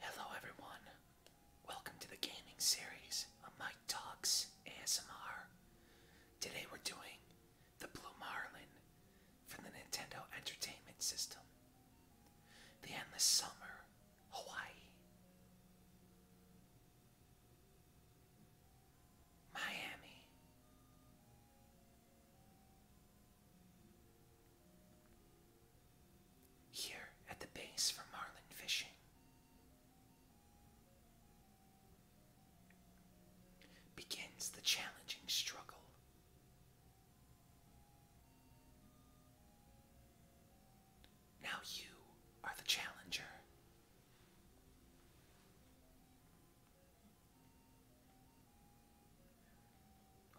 Hello everyone. Welcome to the gaming series on Mike Talks ASMR. Today we're doing the Blue Marlin from the Nintendo Entertainment System. The Endless Summer, Hawaii. Miami. Here at the base for marlin fishing. Begins the challenging struggle. Now you are the challenger.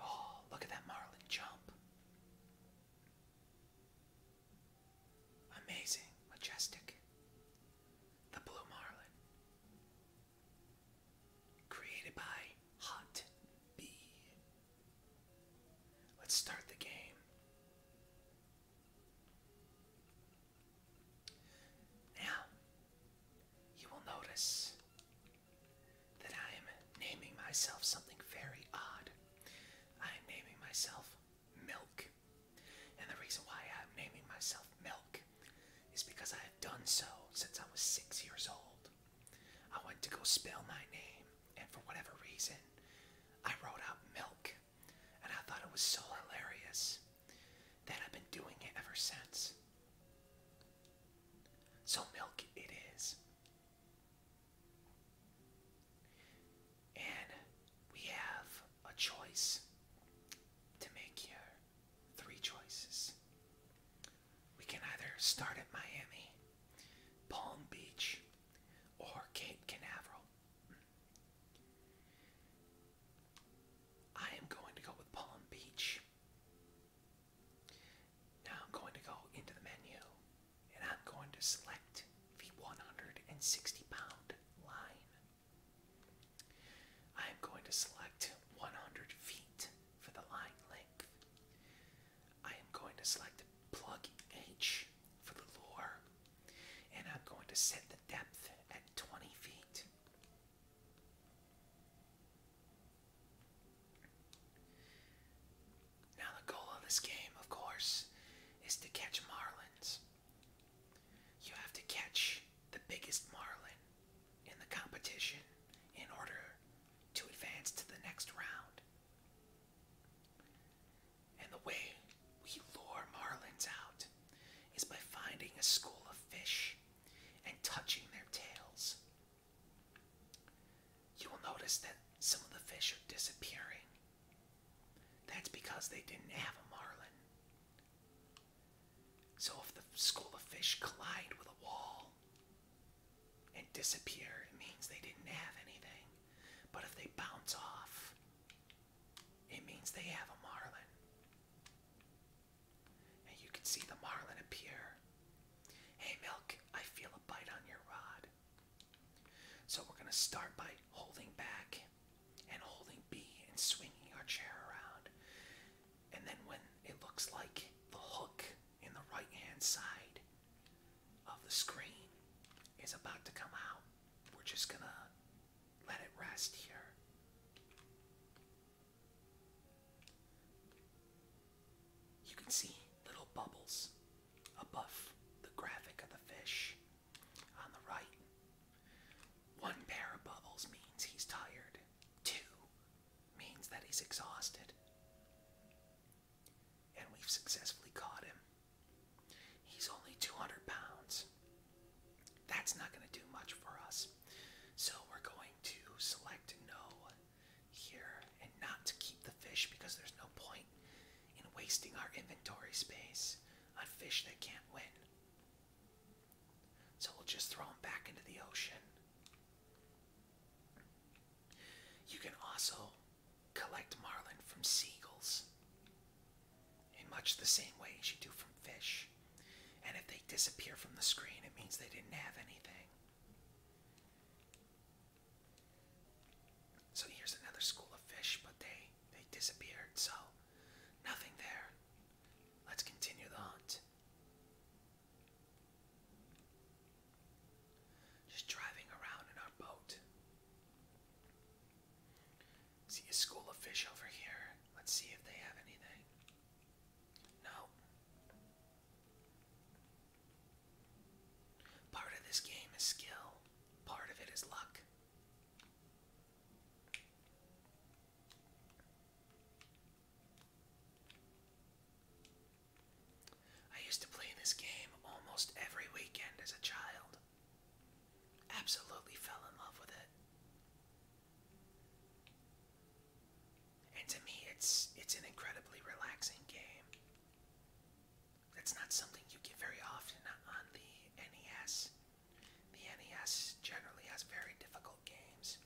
Oh, look at that marlin jump. Amazing, majestic. The blue marlin. Created by Hot B. Let's start the game. Now, you will notice that I am naming myself something very odd. I am naming myself Milk. And the reason why I'm naming myself Milk is because I have done so since I was six years old. I went to go spell my name, and for whatever reason, I wrote out Milk. And I thought it was so hilarious that I've been doing it ever since. So, milk it is. And we have a choice to make here. Three choices. We can either start at Miami, Palm Beach, or Cape Canaveral. I am going to go with Palm Beach. Now I'm going to go into the menu and I'm going to select the 160 pound line. I am going to select 100 feet for the line length. I am going to select the plug H for the lure and I'm going to set the depth at 20 feet. Now, the goal of this game, of course, is to catch marlins. You have to catch the biggest marlin in the competition in order to advance to the next round. And the way we lure marlins out is by finding a school of fish and touching their tails you will notice that some of the fish are disappearing. That's because they didn't have a marlin. So if the school of fish collide with a wall and disappear, it means they didn't have anything. But if they bounce off, it means they have a marlin. And you can see the marlin appear. Hey, Milk, I feel a bite on your rod. So we're going to start by holding back and holding B and swinging our chair around. And then when it looks like the hook in the right hand side of the screen is about to come out, we're just going to let it rest here. You can see little bubbles above the graphic of the fish on the right. One pair of bubbles means he's tired, two means that he's exhausted. And we've successfully caught him. He's only 200 pounds. That's not going to do much for us. So we're going to select no here and not to keep the fish because there's no point in wasting our inventory space on fish that can't win. So we'll just throw them back into the ocean. You can also collect marlin from seagulls in much the same way as you do from fish. And if they disappear from the screen, it means they didn't have anything. So here's another school of fish, but they they disappeared, so nothing there. Let's continue the hunt. Just driving around in our boat. See a school of fish over here. Let's see if they have anything. No. Part of this game is skill, part of it is luck. I used to play this game almost every weekend as a child. Absolutely fell in love with it. And to me, it's it's an incredibly relaxing game. That's not something you get very often on the NES. The NES generally has very difficult games.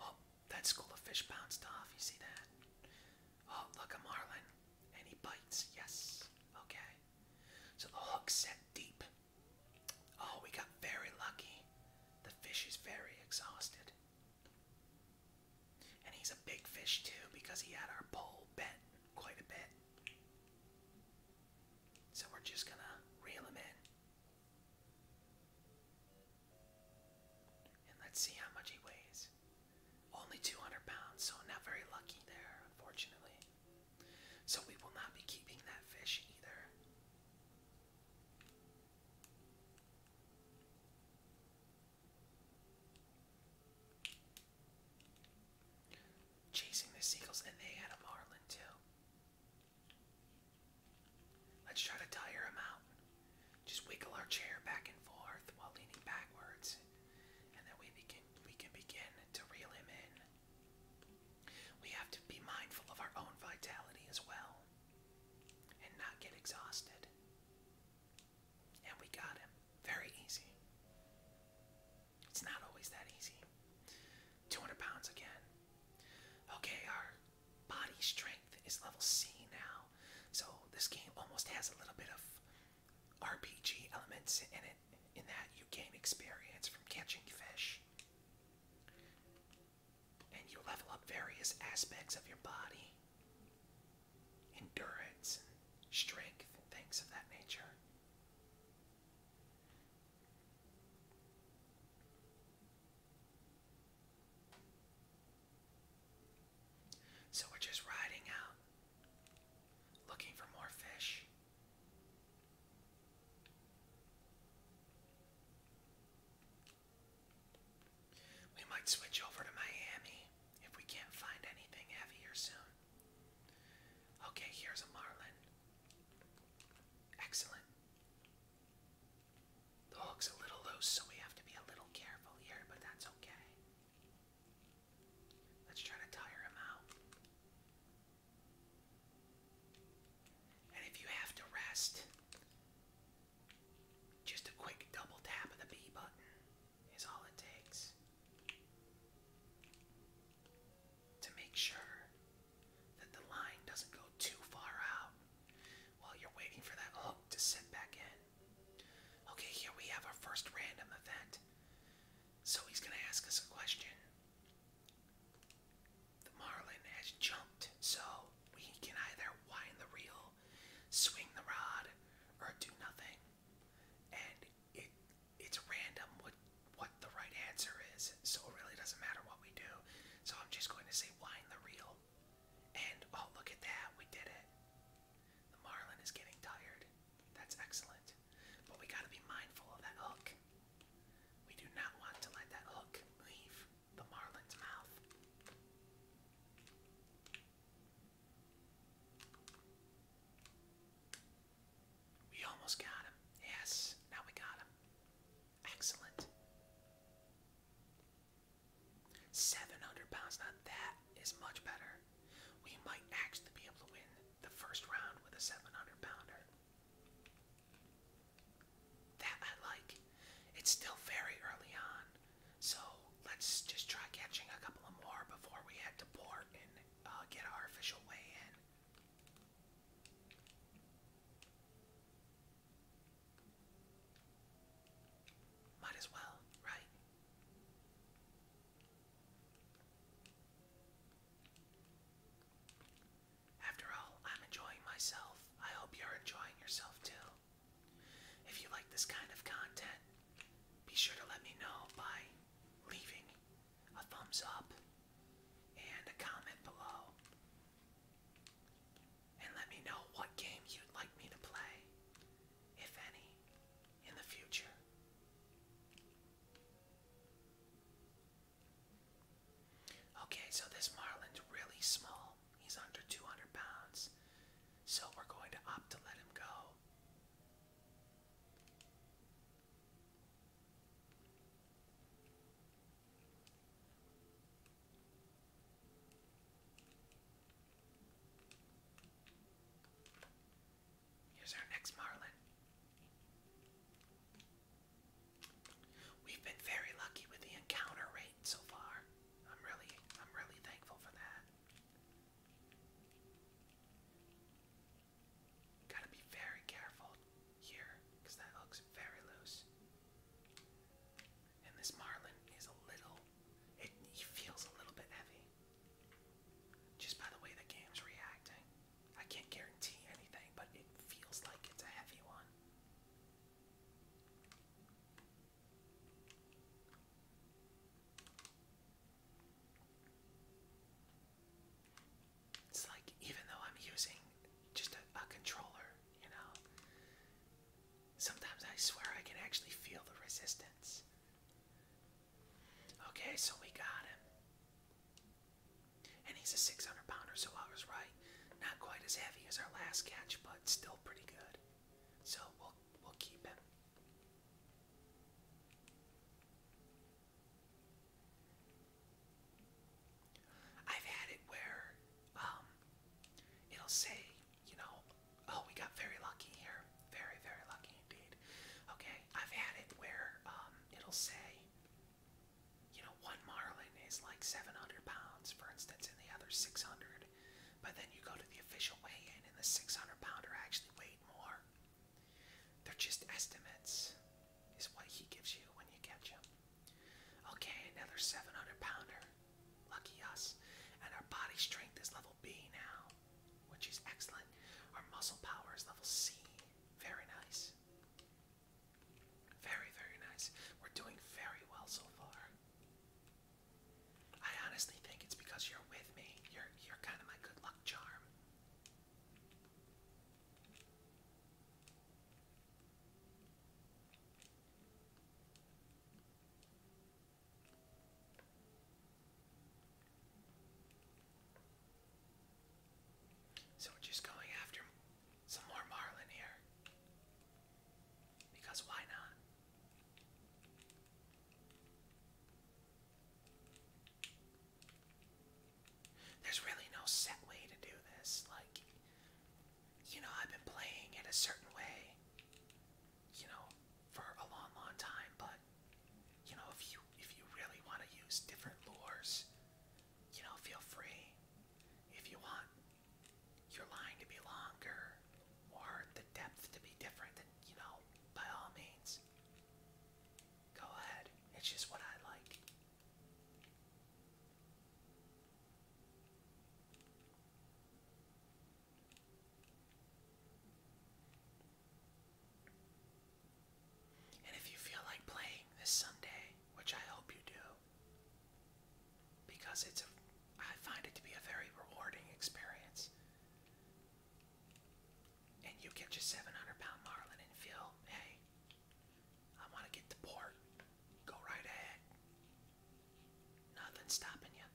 Oh, that school of fish bounced off. You see that? Oh, look, a marlin. And he bites. Yes. Okay. So the hook set deep. Oh, we got very lucky. The fish is very exhausted. And he's a big fish too because he had our pole bent quite a bit. So we're just gonna reel him in. And let's see how much he weighs. Only 200 pounds, so not very lucky there, unfortunately. So we will not be keeping that fish either. Chasing the seagulls, and they had a marlin too. Let's try to tire him out. Just wiggle our chair back and forth while leaning backwards, and then we begin. We can begin to reel him in. We have to be mindful of our own vitality as well and not get exhausted. And we got him. Very easy. It's not always that easy. 200 pounds again. Okay, our body strength is level C now. So this game almost has a little bit of RPG elements in it, in that you gain experience from catching fish and you level up various aspects of your body endurance, strength, things of that nature. So we're just riding out, looking for more fish. We might switch over to Miami if we can't find anything heavier soon. Okay, here's a marlin. Excellent. The hook's a little loose, so we have to be a little careful here, but that's okay. Let's try to tire him out. And if you have to rest, just a quick double tap of the B button is all it takes to make sure that the line doesn't go too far out while you're waiting for that hook to sit back in. Okay, here we have our first random event. So he's going to ask us a question. The marlin has jumped, so we can either wind the reel, swing the rod, or do nothing. And it it's random what what the right answer is, so it really doesn't matter what we do. So I'm just going to say wind the reel. And oh look at that, we did it. The marlin is getting tired. That's excellent. But we gotta be mindful of that hook. We do not want to let that hook leave the marlin's mouth. We almost got him. Yes, now we got him. Excellent. 700 pounds, now that is much better. We might actually be able to win the first round with a 700 pounder. That I like. It's still very early on, so let's just try catching a couple of more before we head to port and uh, get our official way in. Might as well, right? After all, I'm enjoying myself. I hope you're enjoying yourself too. If you like this kind of content, be sure to let me know by leaving a thumbs up and a comment below. And let me know what game you'd like me to play, if any, in the future. Okay, so this Marlin's really small. He's under 200 pounds. So we're going to opt to let him go. Here's our next Marlin. We've been very lucky with the encounter rate so far. I'm really I'm really thankful for that. Gotta be very careful here, that hook's very loose. And this marlin is a little it feels a little bit heavy. Just by the way the game's reacting. I can't guarantee anything, but it feels like it's a heavy one. It's like even though I'm using just a, controller, you know, sometimes I swear I can actually feel the resistance. Okay, so we got him. And he's a 600 pounder, so I was right. Not quite as heavy as our last catch, but still pretty good. So we'll we'll keep him. I've had it where um, it'll say, you know, oh, we got very lucky here. Very, very lucky indeed. Okay, I've had it where um, it'll say, you know, one marlin is like 700 pounds, for instance, and the other 600. But then you go to the official weigh in, and the 600 pounder actually weighed more. They're just estimates, is what he gives you when you catch him. Okay, another 700 pounder. Lucky us. And our body strength is level B now, which is excellent. Our muscle power is level C. Very nice. Very, very nice. We're doing very well so far. I honestly think it's because you're with me. You're you're kind of my good luck charm. So we're just going after some more marlin here. Because why not? There's really no set way to do this. Like, you know, I've been playing in a certain way, you know, for a long, long time. But you know, if you if you really want to use different lures, you know, feel free. If you want your line to be longer or the depth to be different, you know, by all means, go ahead. It's just what I like. And if you feel like playing this Sunday, which I hope you do, because it's a I find it to be a very rewarding experience. And you catch a 700 pound marlin and feel, hey, I want to get to port. Go right ahead. Nothing's stopping you.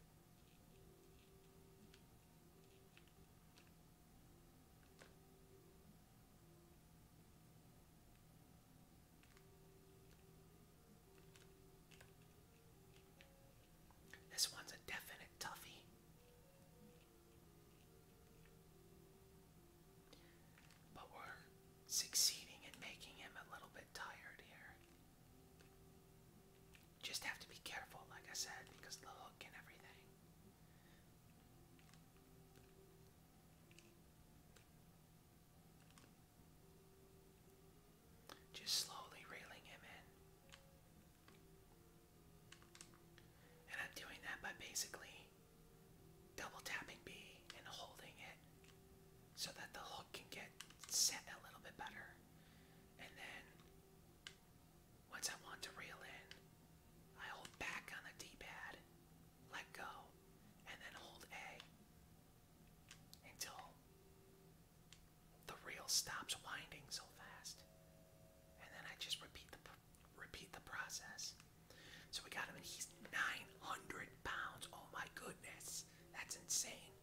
This one's a definite toughie. But we're succeeding in making him a little bit tired here. Just have to be careful, like I said, because the hook and everything. Just slowly reeling him in. And I'm doing that by basically double tapping B and holding it so that the hook can get set a little bit better. And then once I want to reel in, I hold back on the D pad, let go, and then hold A until the reel stops winding so fast. And then I just repeat the repeat the process. So we got him, and he's 900 pounds. Oh my goodness, that's insane.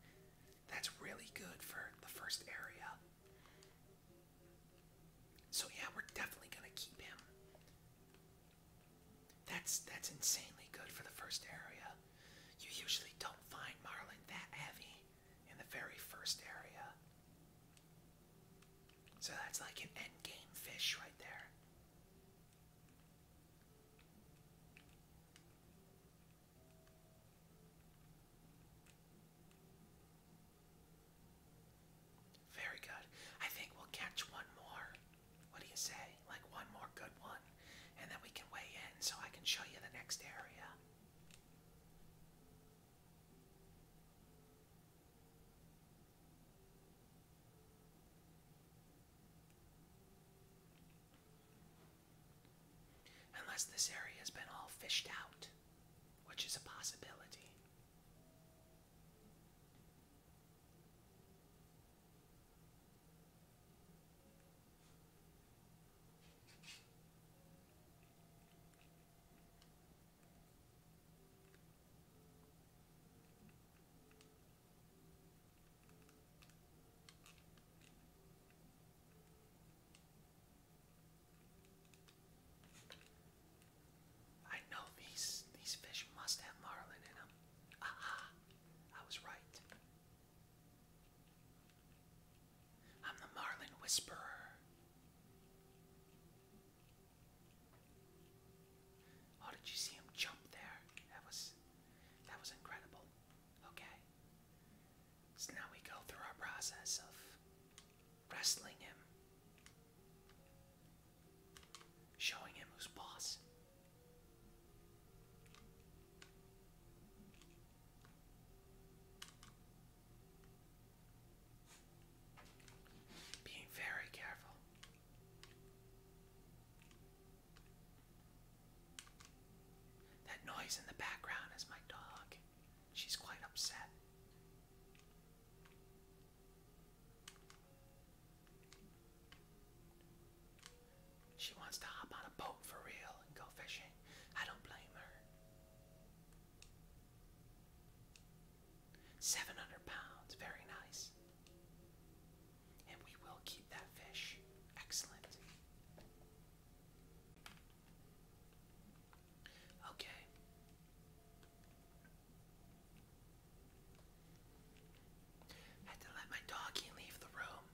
That's really good for the first area. So yeah, we're definitely gonna keep him. That's that's insanely good for the first area. You usually don't find marlin that heavy in the very first area. So that's like an end game fish right there. Very good. I think we'll catch one more. What do you say? Like one more good one, and then we can weigh in so I can show you the next area. Unless this area has been all fished out, which is a possibility. I know these these fish must have marlin in them. Aha! Ah. I was right. I'm the Marlin Whisperer. Oh, did you see him jump there? That was that was incredible. Okay. So now we go through our process of wrestling him showing him who's boss. Being very careful. That noise in the background is my dog. She's quite upset. She wants to hop on a boat for real and go fishing. I don't blame her. 700 pounds, very nice. And we will keep that fish. Excellent. Okay. Had to let my doggy leave the room.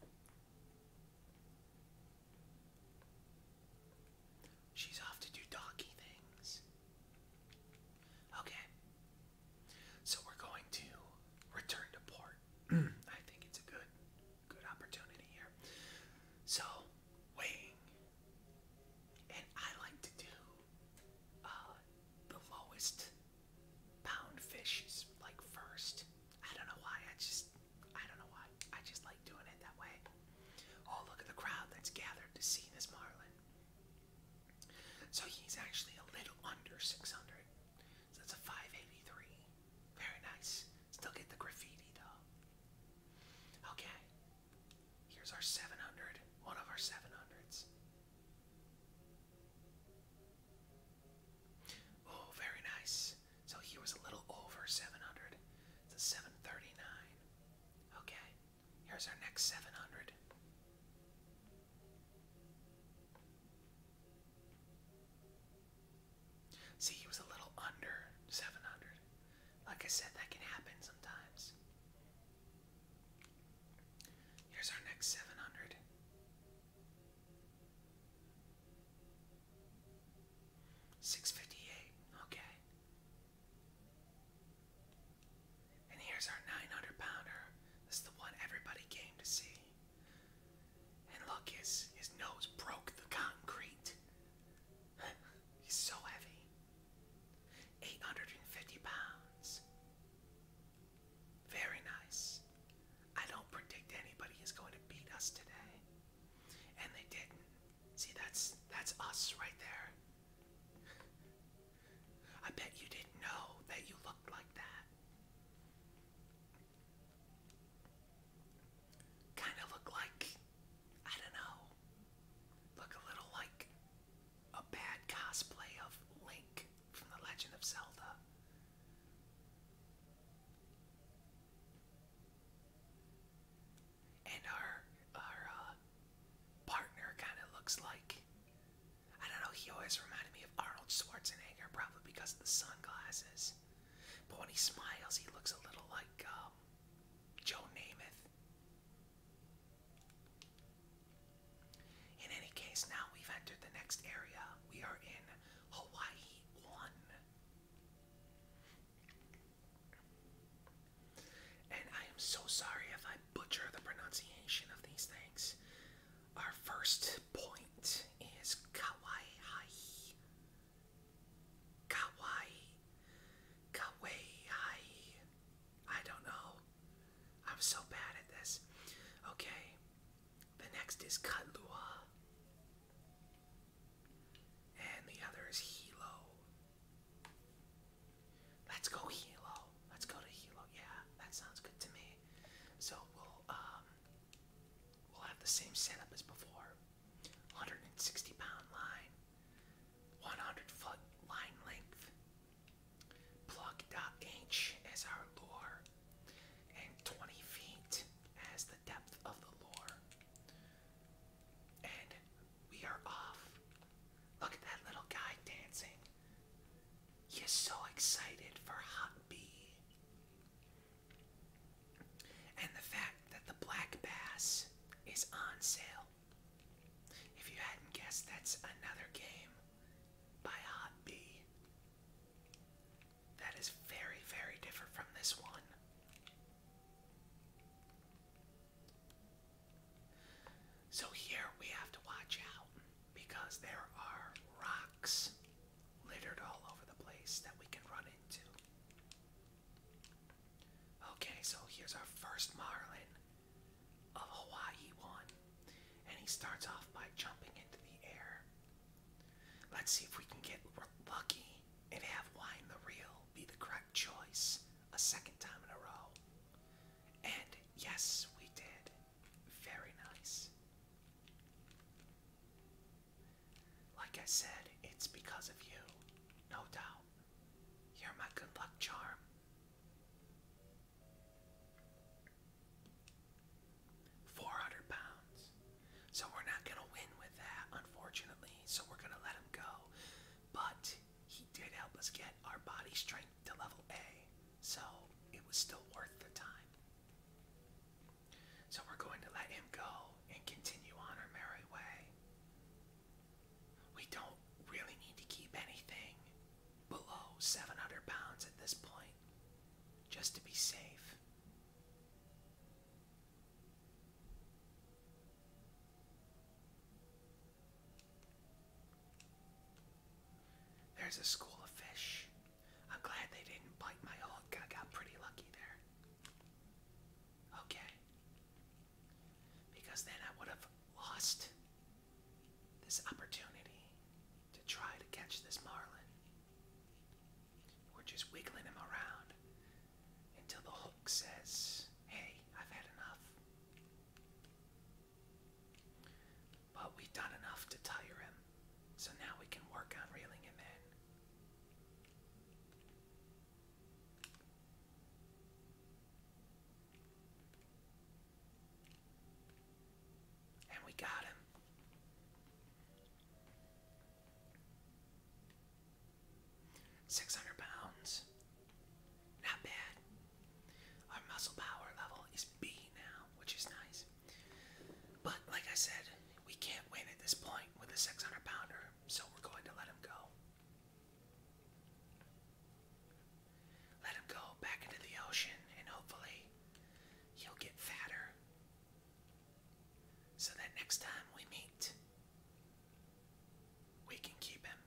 She's off to do doggy things. Okay. So we're going to return to port. I think it's a good good opportunity here. So weighing. And I like to do uh, the lowest pound fish is like first. I don't know why. I just I don't know why. I just like doing it that way. Oh, look at the crowd that's gathered to see this marlin. So he's actually a little under 600. So that's a 583. Very nice. Still get the graffiti though. Okay. Here's our 700. One of our 700s. Oh, very nice. So he was a little over 700. It's a 739. Okay, here's our next 700. See, he was a little under 700. Like I said, that can happen sometimes. Here's our next 700. Six fifty eight, okay. And here's our nine hundred pounder. This is the one everybody came to see. And look, his his nose broke the concrete. He's so heavy. Eight hundred and fifty pounds. Very nice. I don't predict anybody is going to beat us today. And they didn't. See, that's that's us right there. I bet you didn't know that you looked like that. Kind of look like, I don't know, look a little like a bad cosplay of Link from The Legend of Zelda. And our our uh, partner kind of looks like I don't know. He always reminded me of Arnold Schwarzenegger, probably because of the sunglasses. But when he smiles, he looks a little like um, Joe Namath. In any case, now we've entered the next area. We are in Hawaii 1. And I am so sorry if I butcher the pronunciation of these things. Our first point is Kauai. Kauai. Kauai. I don't know. I'm so bad at this. Okay, the next is Kahlua, and the other is Hilo. Let's go Hilo. Let's go to Hilo. Yeah, that sounds good to me. So we'll um we'll have the same setup as before. 160 pound line, 100 foot line length, Plug.h is our lore, and 20 feet as the depth of the lore. And we are off. Look at that little guy dancing. He is so excited for Hot B. And the fact that the black bass is on sale. If you hadn't guessed, that's another game by Hot B. That is very, very different from this one. So here we have to watch out because there are rocks littered all over the place that we can run into. Okay, so here's our first marlin of Hawaii 1. And he starts off by jumping into the air. Let's see if we can get lucky and have Wine the Real be the correct choice a second time in a row. And yes, we did. Very nice. Like I said, it's because of you, no doubt. You're my good luck charm. 400 pounds. So we're not going to win with that, unfortunately. So we're going to let him go. But he did help us get our body strength to level A. So it was still worth the time. So we're going to let him go and continue on our merry way. We don't really need to keep anything below 700 pounds at this point, just to be safe. There's a school of fish. I'm glad they didn't bite my hook. I got pretty lucky there. Okay. Because then I would have lost this opportunity to try to catch this marlin. We're just wiggling him around until the hook says, Hey, I've had enough. But we've done enough to tire him, so now we can work on reeling him in. And we got him. Six hundred pounds. Not bad. Our muscle power level is B now, which is nice. But like I said, we can't win at this point with a 600 pounder, so we're going to let him go. Let him go back into the ocean and hopefully you'll get fatter. So that next time we meet, we can keep him.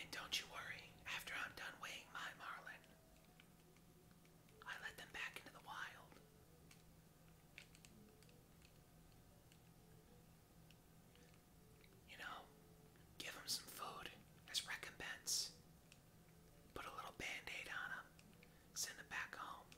And don't you worry, after I'm done weighing my marlin, I let them back into the wild. You know, give him some food as recompense. Put a little band on him, send him back home.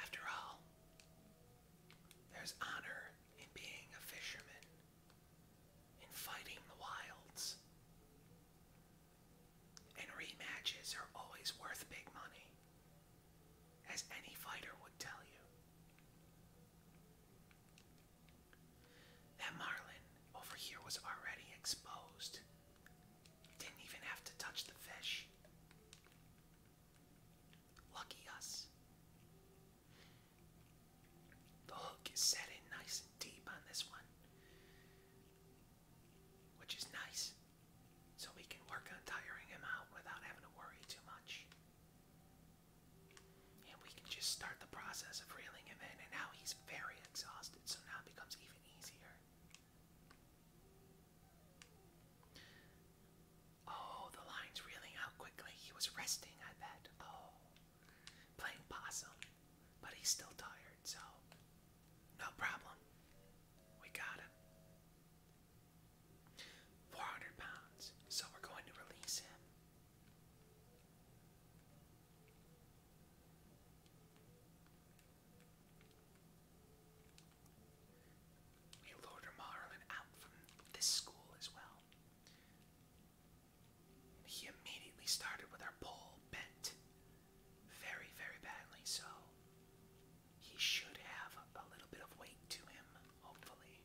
After all, there's honor in being a fisherman in fighting the wilds. And rematches are always worth big money, as any fighter would tell you. That marlin over here was already exposed. Didn't even have to touch the fish. Lucky us. The hook is set in nice and deep on this one, which is nice, so we can work on tiring him out without having to worry too much. And we can just start the process of reeling him in, and now he's very exhausted, so now it becomes even easier. Oh, the line's reeling out quickly. He was resting, I bet. Oh playing possum, but he's still tired, so no problem. We got him. 400 pounds, so we're going to release him. We lure Marlin out from this school as well. He immediately started with our pole bent very, very badly, so he should have a little bit of weight to him, hopefully.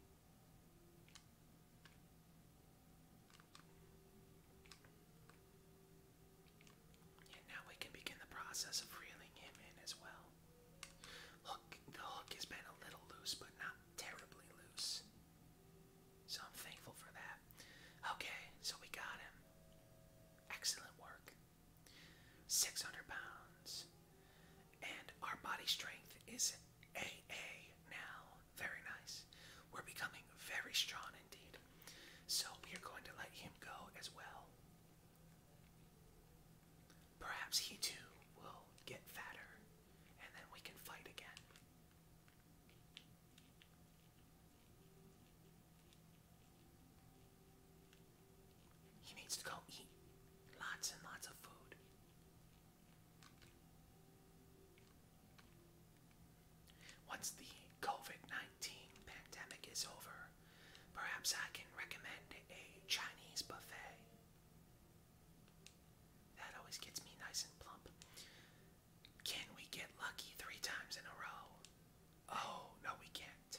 And now we can begin the process of reeling him in as well. the hook has been a little loose, but not terribly loose. So I'm thankful for that. Okay, so we got him. Excellent work. 600 pounds. And our body strength is A A now. Very nice. We're becoming very strong indeed. So we are going to let him go as well. Perhaps he too will get fatter and then we can fight again. He needs to go eat lots and lots of food. Once the COVID 19 pandemic is over, perhaps I can recommend a Chinese buffet. That always gets me nice and plump. Can we get lucky three times in a row? Oh, no, we can't.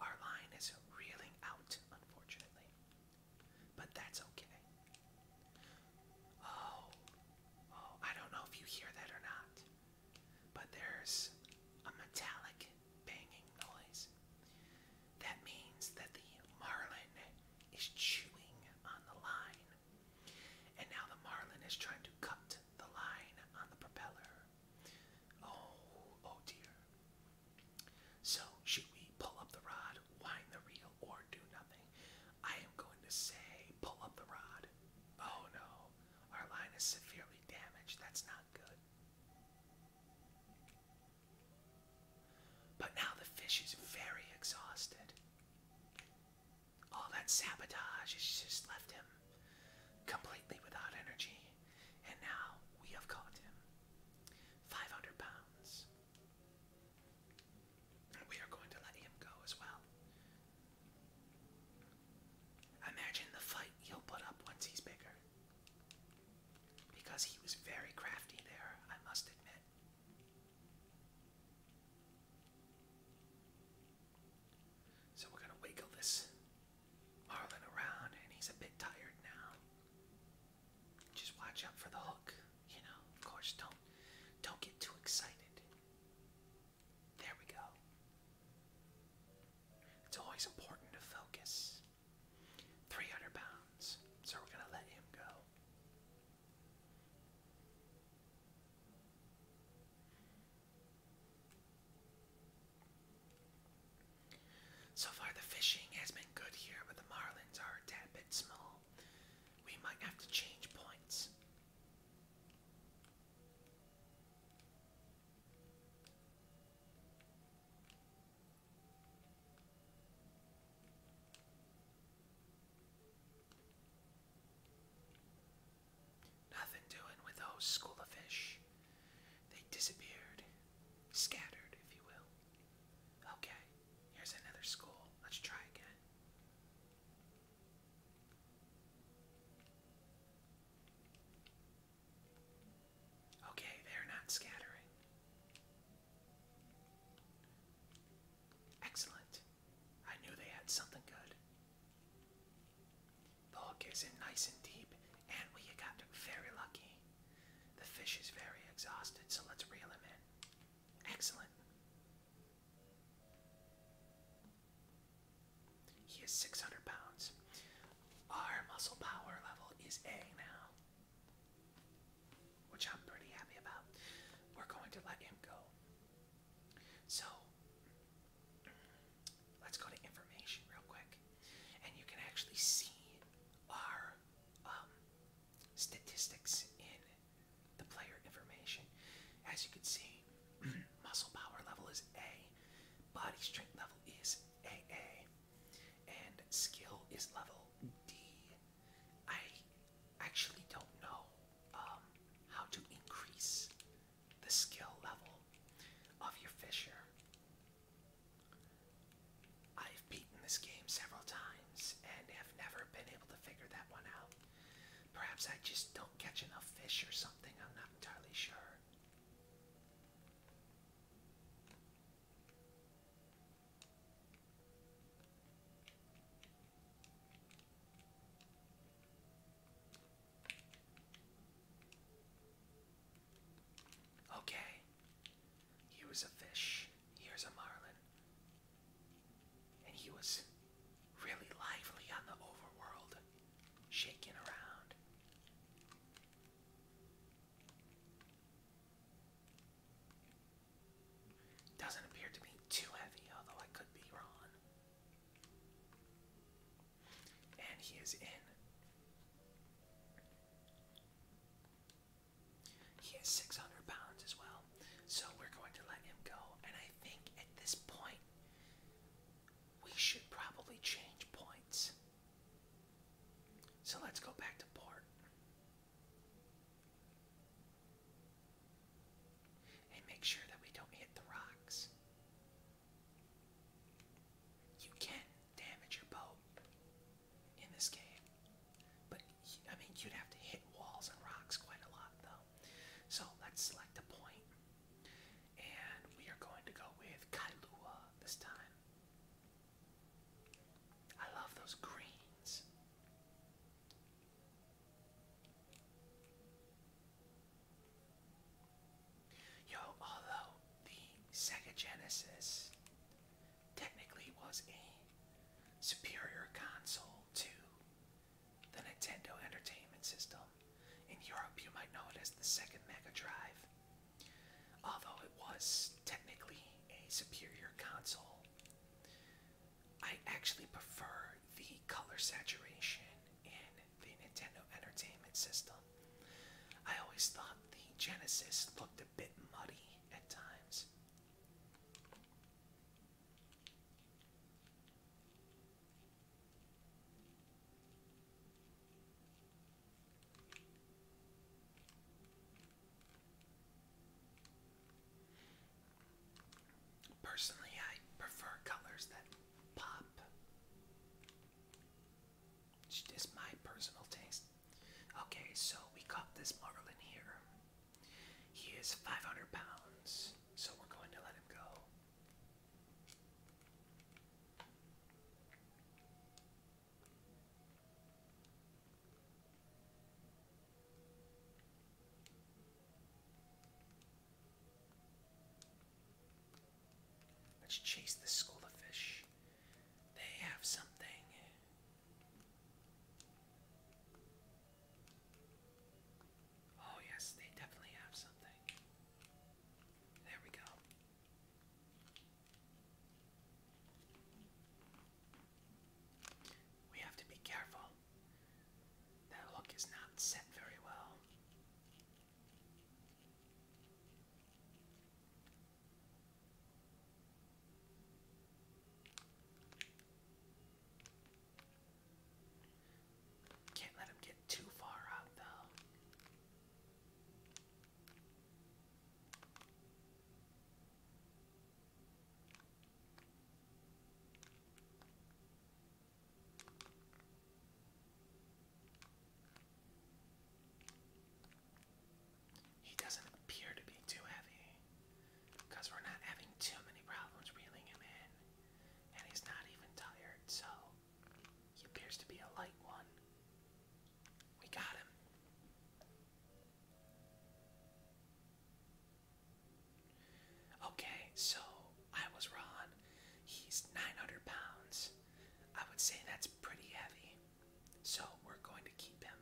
Our line is reeling out, unfortunately. But that's okay. Oh, oh, I don't know if you hear that or not, but there's a metallic banging noise. That means that the marlin is chewing on the line. And now the Marlin is trying to cut the line on the propeller. Oh, oh dear. So, should we pull up the rod, wind the reel, or do nothing? I am going to say pull up the rod. Oh no, our line is severely damaged. That's not good. But now the fish is very exhausted. All that sabotage has just left him completely without energy, and now we have caught him. 500 pounds. We are going to let him go as well. Imagine the fight he'll put up once he's bigger. Because he was very crafty there, I must admit. So we're going to wiggle this Marlin around, and he's a bit tired now. Just watch out for the hook, you know. Of course, don't don't get too excited. There we go. It's always important to focus. 300 pounds, so we're gonna let him go. So far, the fishing has been good here, but the marlins are a tad bit small. We might have to change points. Nothing doing with those school of fish. They disappeared, scattered, if you will. Okay, here's another school. Let's try again. Okay, they're not scattering. Excellent. I knew they had something good. The hook is in nice and deep, and we got very lucky. The fish is very exhausted, so let's reel him in. Excellent. He is 600 pounds. Our muscle power level is A now which I'm pretty happy about. We're going to let him go. So, let's go to information real quick. And you can actually see our um, statistics in the player information. As you can see, muscle power level is A, body strength level is AA, and skill is level D. I actually don't know um, how to increase the skill level of your fisher. I've beaten this game several times and have never been able to figure that one out. Perhaps I just don't catch enough fish or something, I'm not entirely sure. Okay. He was a fish. Here's a marlin. And he was really lively on the overworld, shaking around. Doesn't appear to be too heavy, although I could be wrong. And he is in. He is 600 pounds as well, so we're going to let him go. And I think at this point, we should probably change points. So let's go back to port. And make sure that we don't hit the rocks. You can damage your boat in this game. But, I mean, you'd have to hit walls and rocks quite a lot, though. So, let's select a And we are going to go with Kailua this time. I love those greens. Yo, although the Sega Genesis technically was a superior console to the Nintendo Entertainment System, in Europe you might know it as the second Mega Drive. Although it was technically a superior console, I actually prefer the color saturation in the Nintendo Entertainment System. I always thought the Genesis looked a bit muddy at times. Personally, I prefer colors that pop. It's just my personal taste. Okay, so we caught this Marlin here. He is 500 pounds, so we're going to let him go. Let's chase the school of fish. They have something. Oh, yes, they definitely have something. There we go. We have to be careful. That hook is not set very well. Can't let him get too far out, though. He doesn't appear to be too heavy because we're not having too many problems reeling him in, and he's not even tired, so he appears to be a light one. We got him. Okay, so I was wrong. He's 900 pounds. I would say that's pretty heavy. So we're going to keep him.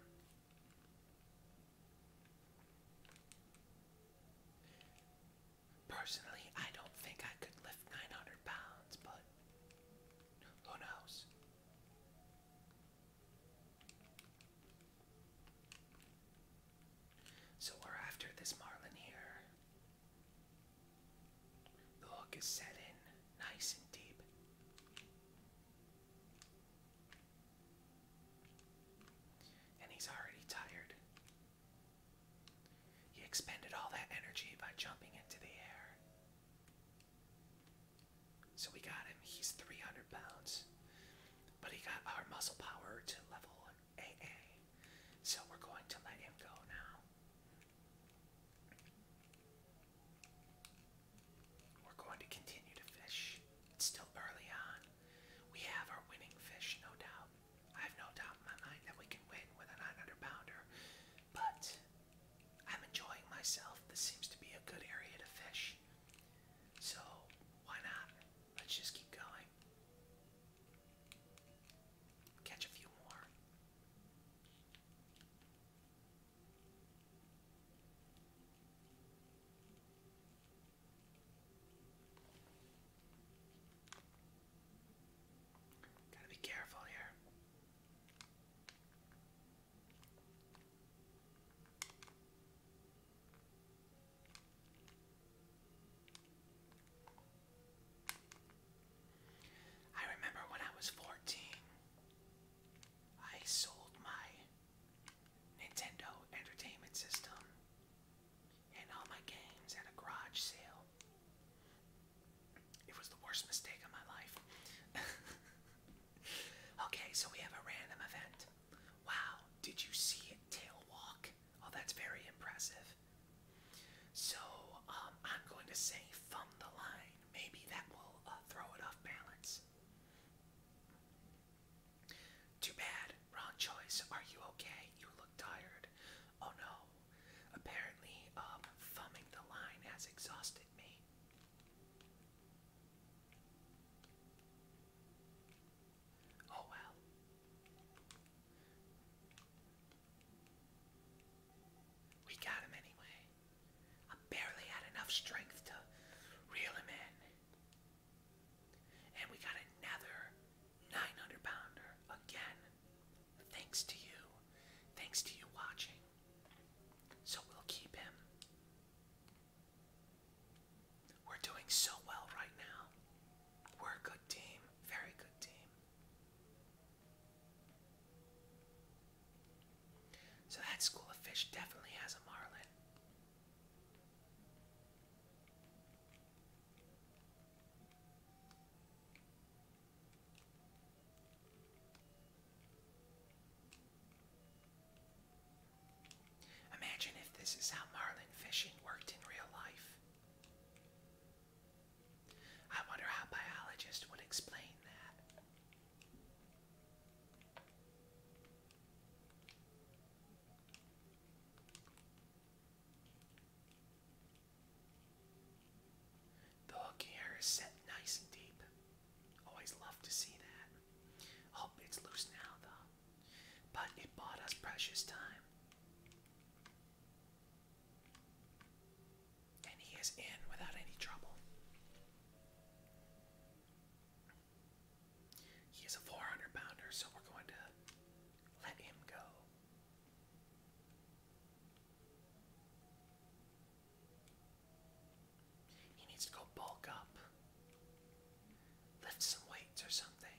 Personally, I don't think I could lift 900 pounds, but who knows? So we're after this marlin here. The hook is set in nice and deep. And he's already tired. He expended all that energy by jumping into the air. So we got him. He's 300 pounds. But he got our muscle power to level AA. So we're going to let him go now. We're going to continue to fish. It's still early on. We have our winning fish, no doubt. I have no doubt in my mind that we can win with a 900 pounder. But I'm enjoying myself. This seems to be a good area to fish. So why not? Let's just keep going. Catch a few more. Gotta be careful here. I remember when I was 14, I sold my Nintendo Entertainment System and all my games at a garage sale. It was the worst mistake of my life. okay, so we have a random event. Wow, did you see it tail walk? Oh, that's very impressive. So, um, I'm going to say thumb the line. Maybe that will uh, throw it off balance. Too bad. Wrong choice. Are you okay? You look tired. Oh no. Apparently, um, thumbing the line has exhausted me. Oh well. We got him anyway. I barely had enough strength to reel him in. And we got another 900 pounder again. Thanks to you. Thanks to you watching. So we'll keep him. We're doing so well right now. We're a good team, very good team. So that school of fish definitely has a marlin. Imagine if this is how marlin fishing worked in real life. I wonder how biologists would explain that. The hook here is set nice and deep. Always love to see that. Hope it's loose now, though but it bought us precious time. And he is in without any trouble. He is a 400 pounder, so we're going to let him go. He needs to go bulk up. Lift some weights or something.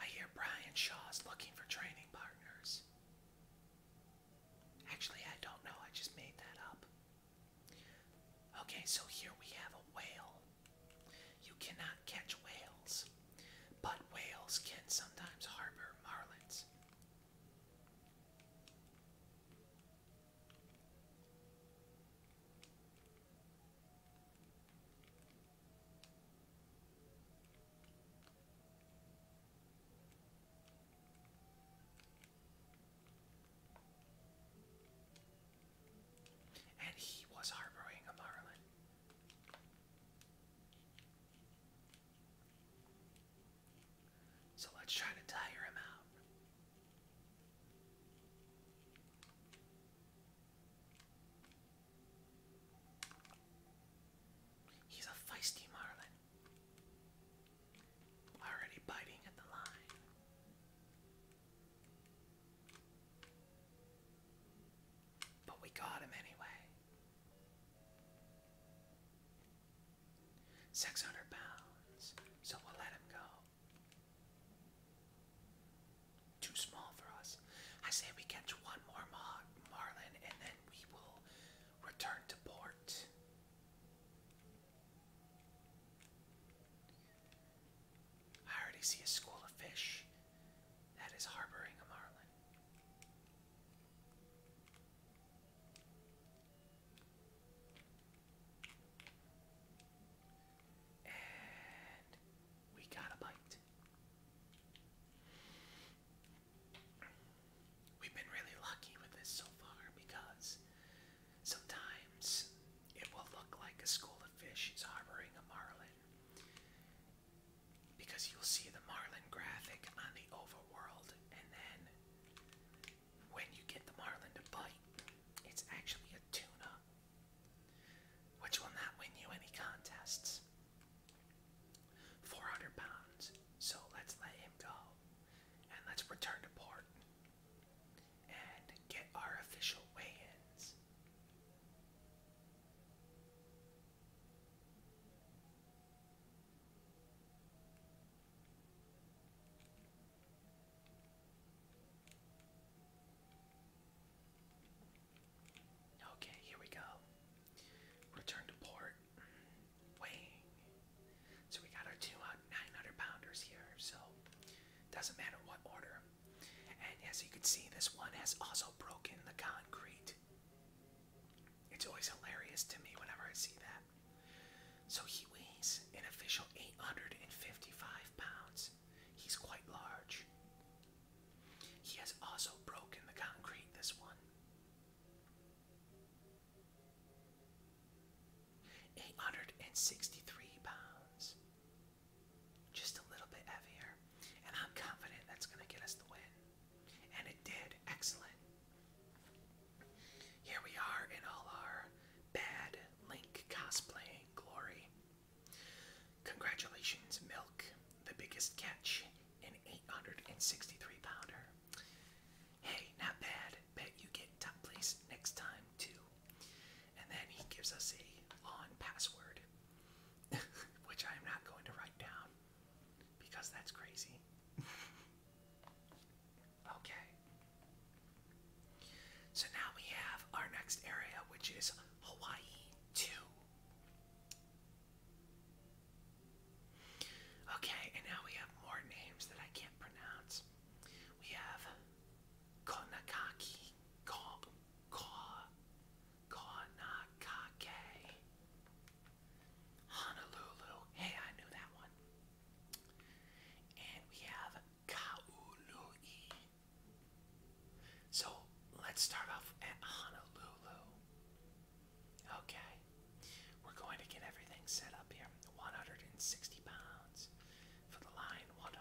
I hear Brian Shaw's looking for training partners. Actually, I don't know, I just made that up. Okay, so here we have a whale. You cannot catch whales, but whales can sometimes harbor marlins. And he was harboring a marlin. So let's try to tire him out. He's a feisty marlin. Already biting at the line. But we got him anyway. 600 pounds, so we'll let him go. Too small for us. I say we catch one more mar marlin and then we will return to port. I already see a school of fish that is harboring a marlin. And we got a bite. We've been really lucky with this so far because sometimes it will look like a school of fish is harboring a marlin. Because you'll see the marlin graphic on the overworld, and then when you get the marlin to bite, it's actually a tuna, which will not win you any contests. 400 pounds, so let's let him go. And let's return to port and get our official weigh ins. Okay, here we go. Return to port. Wing. So we got our two 900 pounders here, so doesn't matter what order. And as you can see, this one has also broken the concrete. It's always hilarious to me whenever I see that. So he weighs an official 855 pounds. He's quite large. He has also broken the concrete, this one. 863 pounds. Just a little bit heavier. And I'm confident that's going to get us the win. And it did. Excellent. Here we are in all our bad Link cosplaying glory. Congratulations, Milk, the biggest catch in 863 pounder. Hey, not bad. Bet you get top place next time, too. And then he gives us a lawn password, which I am not going to write down because that's crazy. Okay. So now we have our next area, which is Hawaii 2. Okay, and now we have more names that I can't pronounce. We have Konakaki, Ko, Ko, Konakake, Honolulu. Hey, I knew that one. And we have Kaului. So let's start off at Honolulu. Okay. We're going to get everything set up here. 160 pounds for the line, 100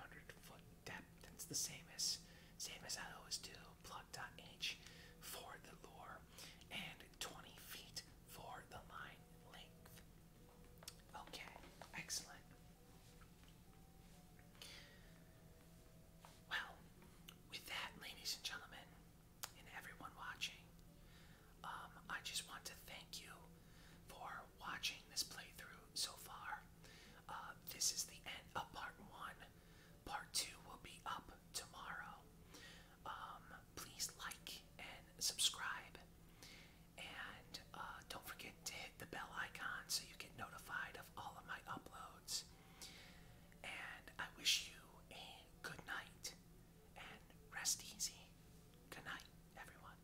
foot depth. It's the same as same as I always do. Plug.h for the lure and 20 feet for the line length. Okay, excellent. Well, with that, ladies and gentlemen, and everyone watching, um, I just want to thank you for watching this playthrough so far. Uh, this is the end of part one. Part two will be up tomorrow. Um, please like and subscribe. And uh, don't forget to hit the bell icon so you get notified of all of my uploads. And I wish you a good night and rest easy. Good night, everyone.